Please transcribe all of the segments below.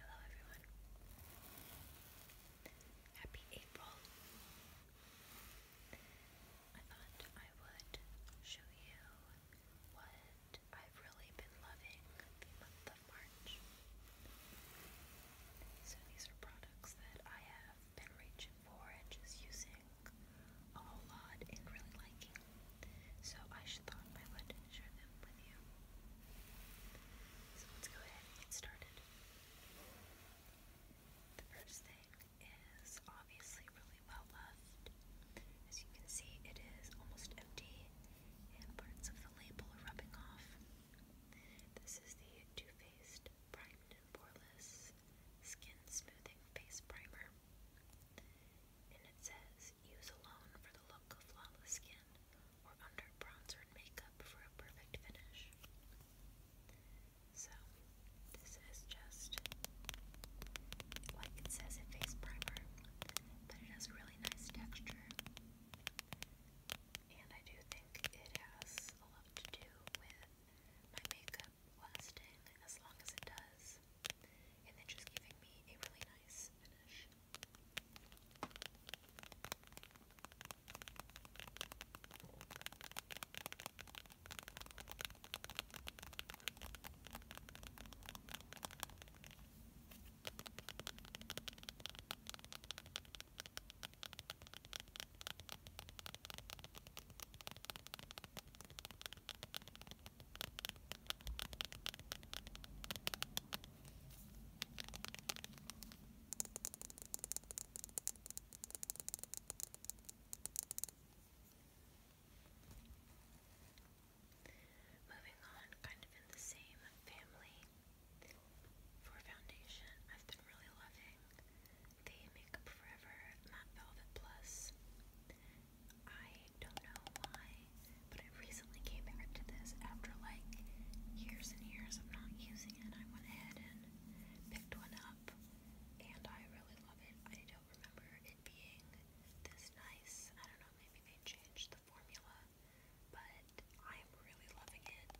Hello, everyone. Happy April. I thought I would show you what I've really been loving the month of March. So, these are products that I have been reaching for and just using a whole lot and really liking. So I just thought I would share them with you. So let's go ahead and get started. The first thing is obviously really well loved. As you can see, it is almost empty and parts of the label are rubbing off. This is the Too Faced Primed and Poreless Skin Smoothing Face Primer. And it says, use alone for the look of flawless skin or under bronzer and makeup for a perfect finish. So, this is just, like it says, a face primer, but it has a really nice texture and I do think it has a lot to do with my makeup lasting as long as it does, and then just giving me a really nice finish. Moving on, kind of in the same family, for foundation, I've been really loving the Makeup Forever Matte Velvet Plus. I don't know why, but I recently came back to this after like years and years of not using it. I went ahead and picked one up, and I really love it. I don't remember it being this nice. I don't know, maybe they changed the formula but I'm really loving it.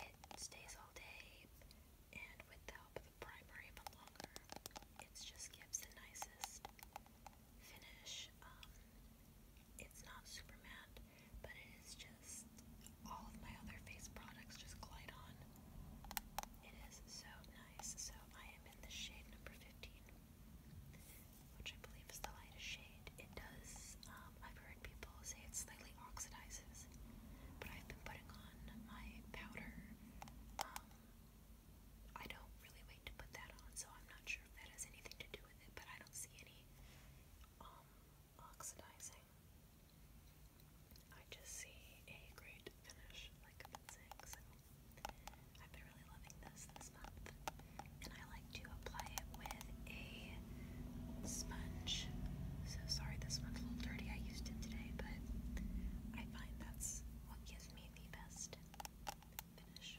It stays all day, and with the help of the primer even longer, it just gives the nicest finish. Um, it's not super matte, but it is just all of my other face products just glide on. It is so nice. So I am in the shade number 15 which I believe is the lightest shade. It does, um, I've heard people say it slightly oxidizes, but I've been putting on my powder. Um, I don't really wait to put that on, so I'm not sure if that has anything to do with it, but I don't see any um, oxidizing. I just see a great finish, like I've saying, so I've been really loving this and I like to apply it with a sponge. So sorry, this one's a little dirty. I used it today, but I find that's what gives me the best finish.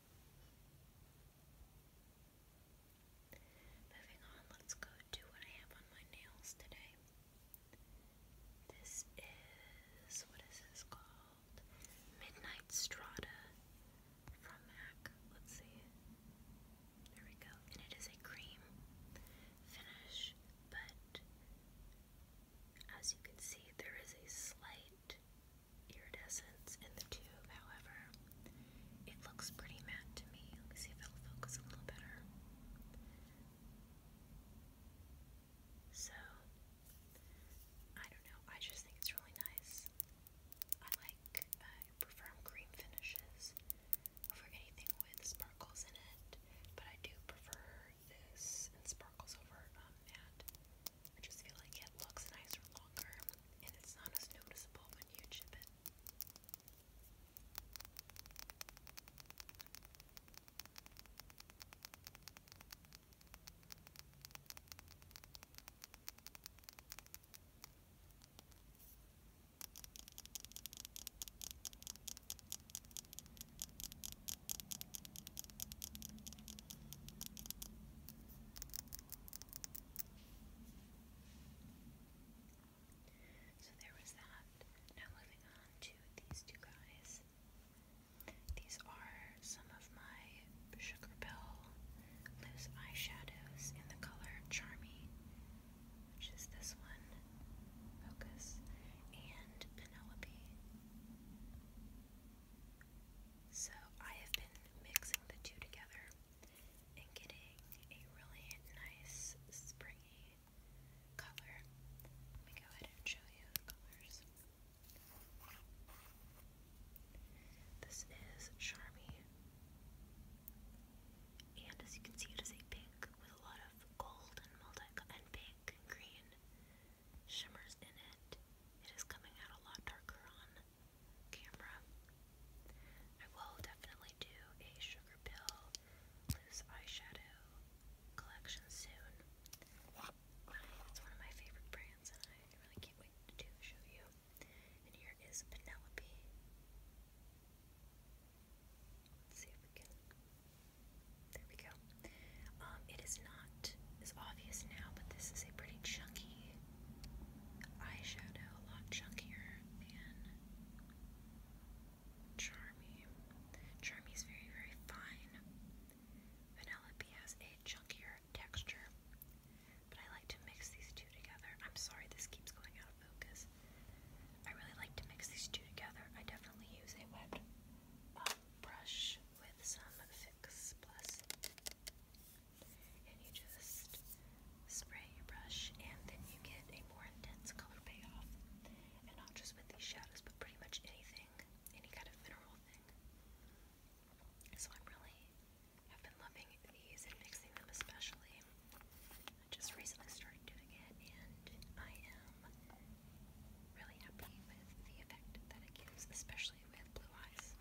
Moving on, let's go to what I have on my nails today. This is, what is this called? Midnight Strata from MAC. Let's see. There we go. And it is a cream finish, but as you can see, there is a slight iridescence in the tube, however, it looks pretty matte to me. Let me see if i will focus a little better. So, I don't know, I just think it's really nice. I like, I prefer cream finishes over anything with sparkles in it, but I do prefer this and sparkles over um, matte. I just feel like it looks nicer longer and it's not as noticeable when you chip it. So there was that. Now moving on to these two guys. These are some of my Sugar Pill loose eyeshadows in the color Charmy, which is this one, Focus, and Penelope. So I have been mixing the two together and getting a really nice springy color. Let me go ahead and show you the colors. This is Charmy. And as you can see, it is a pink with a lot of gold and multi and pink and green shimmers in it. It is coming out a lot darker on camera. I will definitely do a Sugar Pill loose eyeshadow collection soon. It's one of my favorite brands, and I really can't wait to show you. And here is Penelope. see if we can there we go. Um, it is not as obvious now, but this is a pretty chunky eyeshadow, a lot chunkier than Charmy. Charmy is very, very fine. Vanellope has a chunkier texture, but I like to mix these two together. I'm sorry this keeps going out of focus. I really like to mix these two together. I definitely use a wet um, brush with some Fix Plus. And you just spray your brush, and then you get a more intense color payoff. And not just with these shadows, but pretty much anything, any kind of mineral thing. So I am really have been loving these and mixing them especially. I just recently started doing it, and I am really happy with the effect that it gives, especially with blue eyes.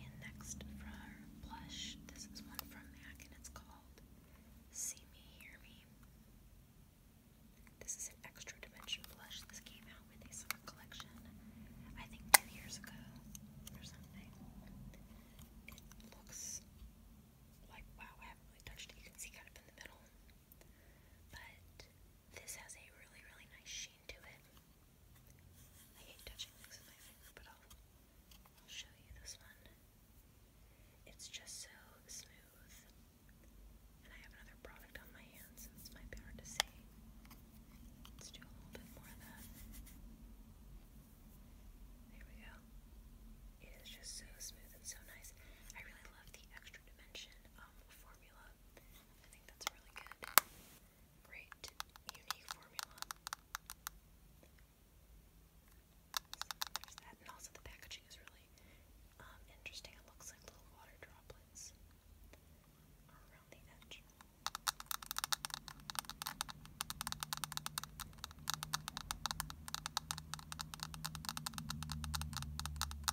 And next for blush, this is one from MAC and it's called See Me, Hear Me. This is an extra dimension blush. This came out with a summer collection, I think two years ago or something. It looks like, wow, I haven't really touched it. You can see kind of in the middle. But this has a really, really nice sheen machine it. I hate touching things with my finger, but I'll, show you this one. It's just so smooth. And I have another product on my hands, so this might be hard to see. Let's do a little bit more of that. There we go. It is just so smooth and so nice. I really love the extra dimension um, formula. I think that's a really good, great, unique formula. So there's that, and also the packaging is really um, interesting. It looks like little water droplets around the edge. Okay, and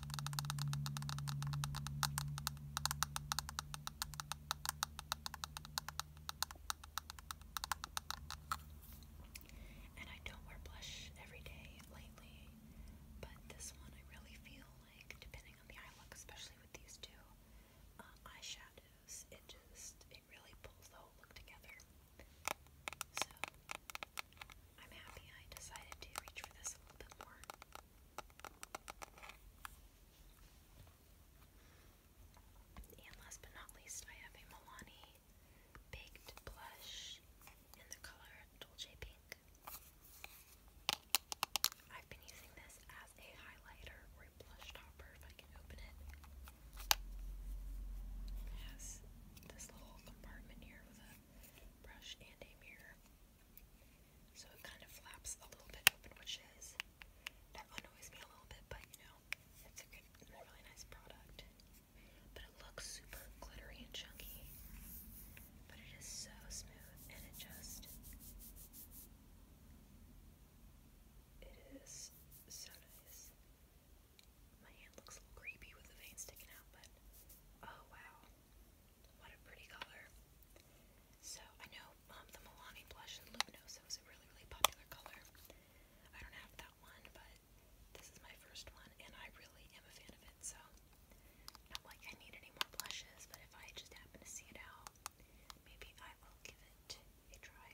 I don't wear blush every day lately, but this one I really feel like, depending on the eye look, especially with these two um, eyeshadows, it just it really pulls the whole look together. So I'm happy I decided to reach for this a little bit more. And last but not least, I have a Milani baked blush in the color Dolce Pink. I've been using this as a highlighter or a blush topper if I can open it. It this little compartment here with a brush and a mirror. So it kind of flaps a little bit which is that annoys me a little bit, but you know, it's a, good, really nice product. But it looks super glittery and chunky. But it is so smooth and it just it is so nice. My hand looks a little creepy with the veins sticking out, but oh wow. What a pretty color. So I know um, the Milani blush in Luminosa was a really, really popular color. I don't have that one, but this is my first one, and I really am a fan of it, so not like I need any more blushes, but if I just happen to see it out, maybe I will give it a try.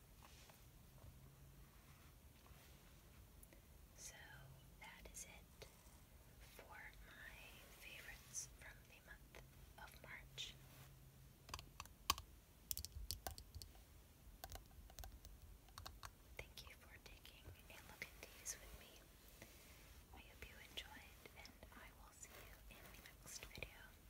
So that is it for my favorites from the month of March. Thank you for taking a look at these with me. I hope you enjoyed, and I will see you in the next video.